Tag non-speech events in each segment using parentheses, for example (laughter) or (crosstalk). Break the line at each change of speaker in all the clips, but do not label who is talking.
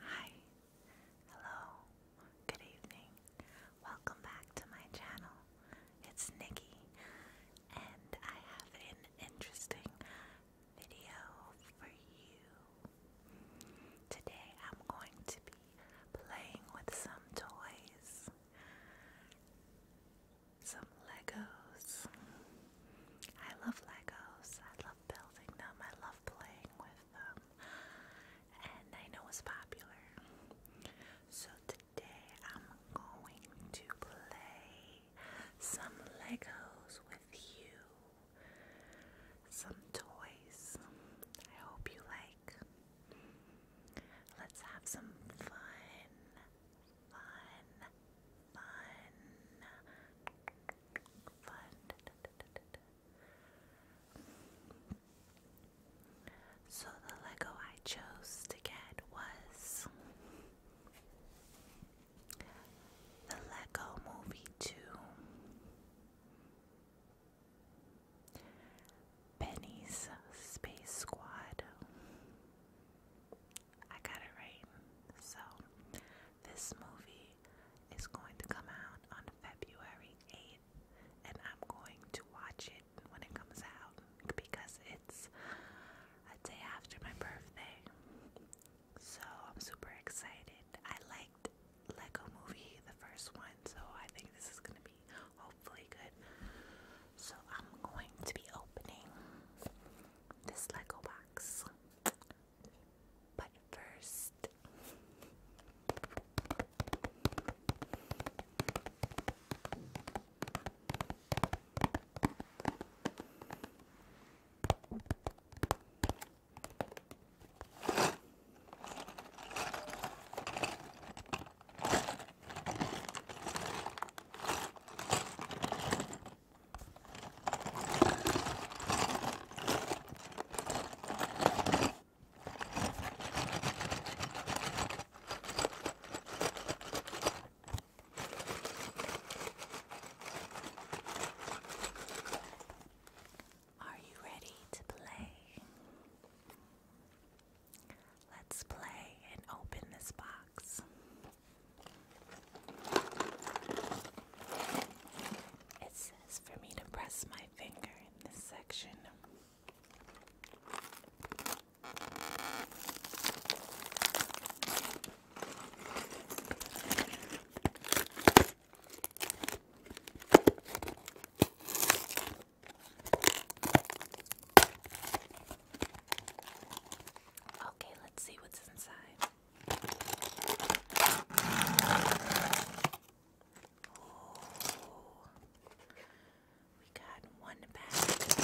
Hi, hello, good evening. Welcome back to my channel. It's Nikki, and I have an interesting video for you. Today I'm going to be playing with some toys some Legos. I love Legos. I love building them. I love playing with them. And I know it's popular. So today I'm going to play some Legos with you. Some toys. I hope you like. Let's have some fun, fun, fun. Fun. So the Lego I chose to get was the Lego Movie 2. Benny's Space Squad. I got it right. So, this movie is going to come out on February 8th, and I'm going to watch it when it comes out because it's a day after my birthday. So, I'm super excited. I liked Lego Movie, the first one, so I think this is going to be hopefully good. So, I'm going to be opening this Lego box. But first, are you ready to play? Let's play and open this box. It says for me to press my finger in this section. Okay, let's see what's inside. we got one bag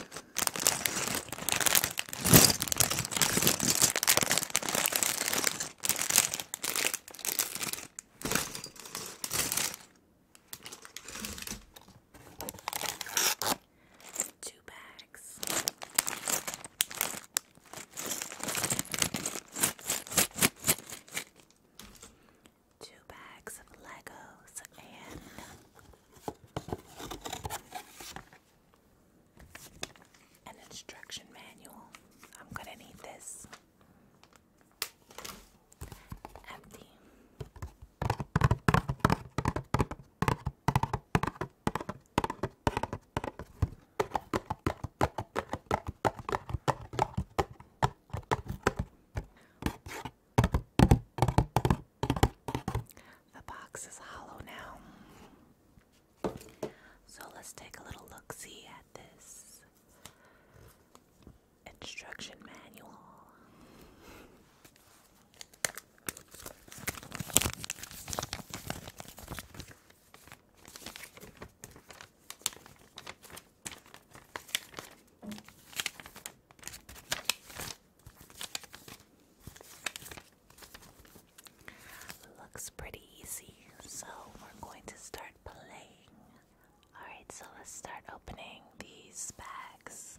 two bags. Two bags of Legos and an instruction manual. I'm gonna need this. Empty. The box is hollow now. So let's take a little look see at this instruction manual. Looks pretty easy, so we're going to start playing. Alright, so let's start opening these bags.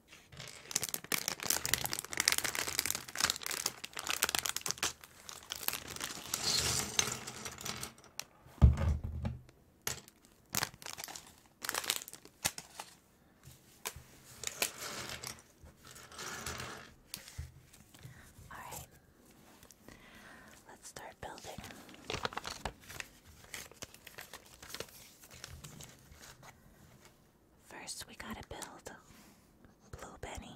All right, let's start building. First, we gotta build Blue Benny.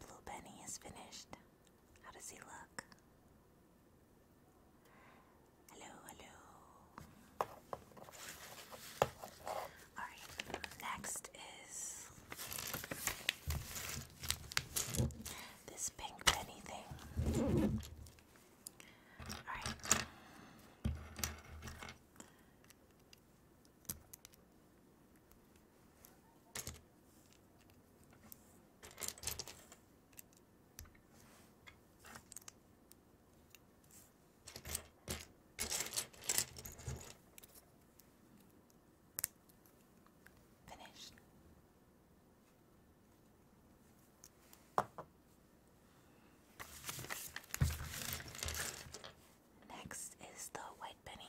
Blue Benny is finished. How does he look? Hello, hello. Alright, next is this pink penny thing. Alright. Finished. Next is the white penny.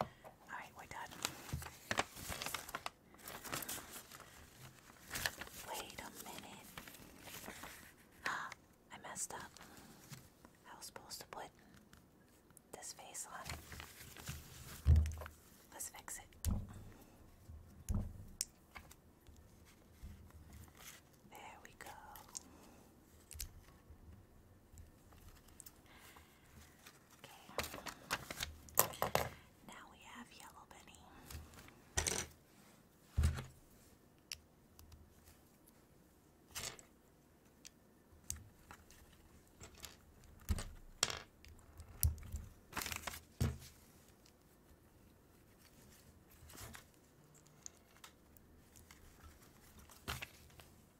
Alright, we're done. Wait a minute. (gasps) I messed up. I was supposed to put this face on Let's fix it. There we go. Okay. Now we have Yellow Benny.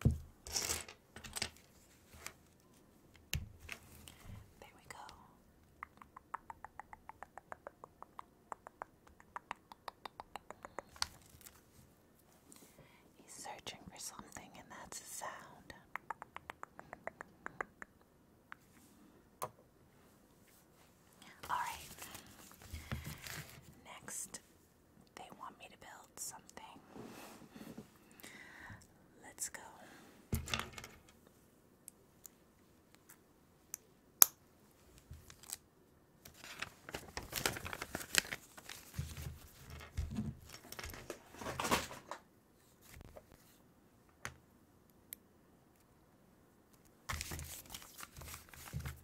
There we go. He's searching for something, and that's a sound. All right. Next they want me to build something. Let's go.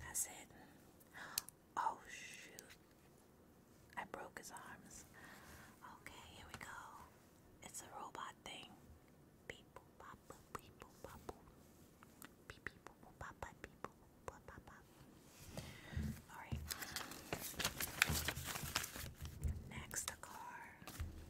That's it. Oh shoot. I broke his arms. Okay, here we go. It's a robot thing. Beep boop bop boop beep boop bop boop. Beep beep Alright. Next a car.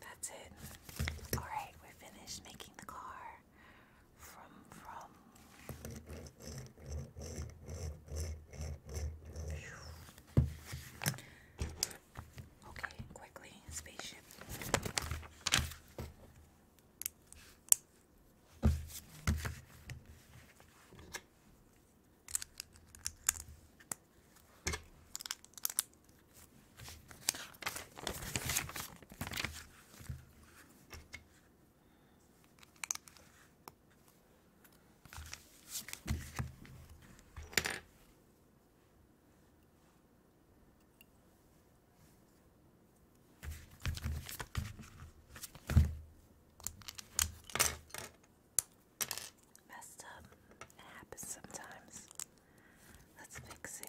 That's it. All right, we're finished making the car from from Okay, quickly, spaceship. Messed up. It happens sometimes. Let's fix it.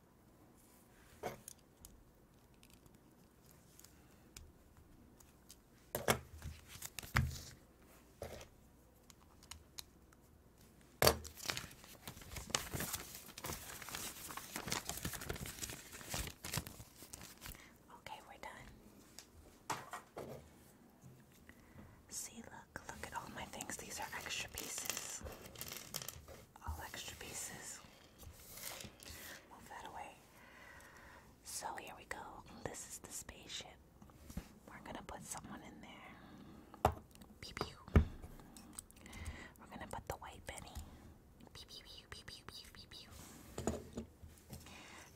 Okay, we're done. See, look, look at all my things. These are extra pieces. All extra pieces. Move that away. So here we go. This is the spaceship. We're gonna put someone in there. We're gonna put the white penny.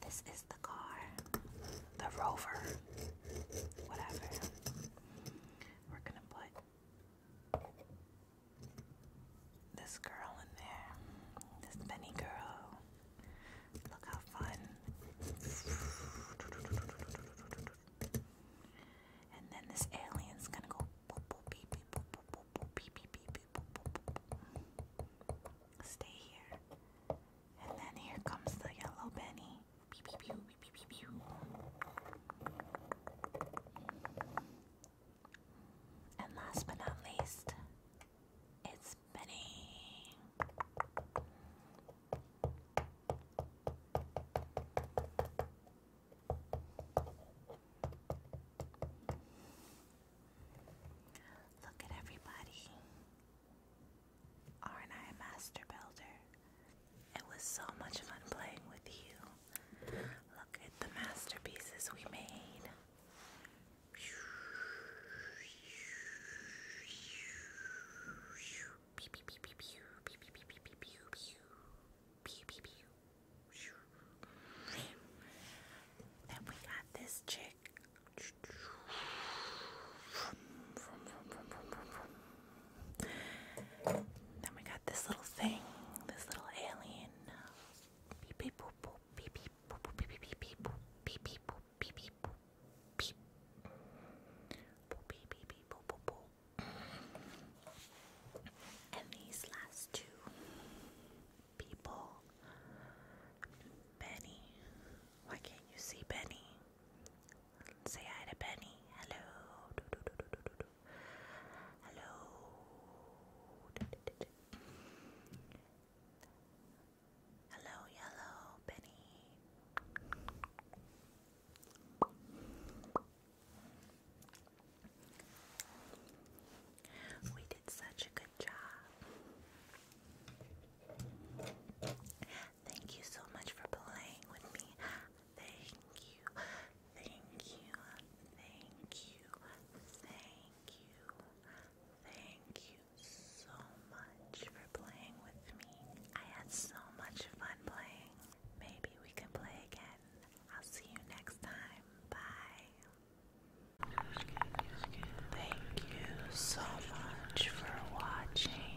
This is the car. The rover. Whatever. We're gonna put this girl in there, this Benny girl. Look how fun. And then this alien's gonna go Stay here. And then here comes the yellow Benny. And last but not least, it's Benny. Look at everybody. Aren't I a master builder? It was so much fun playing with you. Look at the masterpieces we made. Then we got this chick. Then we got this little thing, this little alien. Beep beep boop boop beep beep boop boop beep beep boop boop beep beep boop boop boop boop And these last two people, Benny. Why can't you see Benny? Say hi to Benny. Hello. Hello. Hello, yellow Benny. We did such a good job. Thank you so much for playing with me. Thank you. Thank you, thank you, thank you, thank you so much for playing with me. I had so much fun playing. Maybe we can play again. I'll see you next time. Bye. Thank you so much for watching.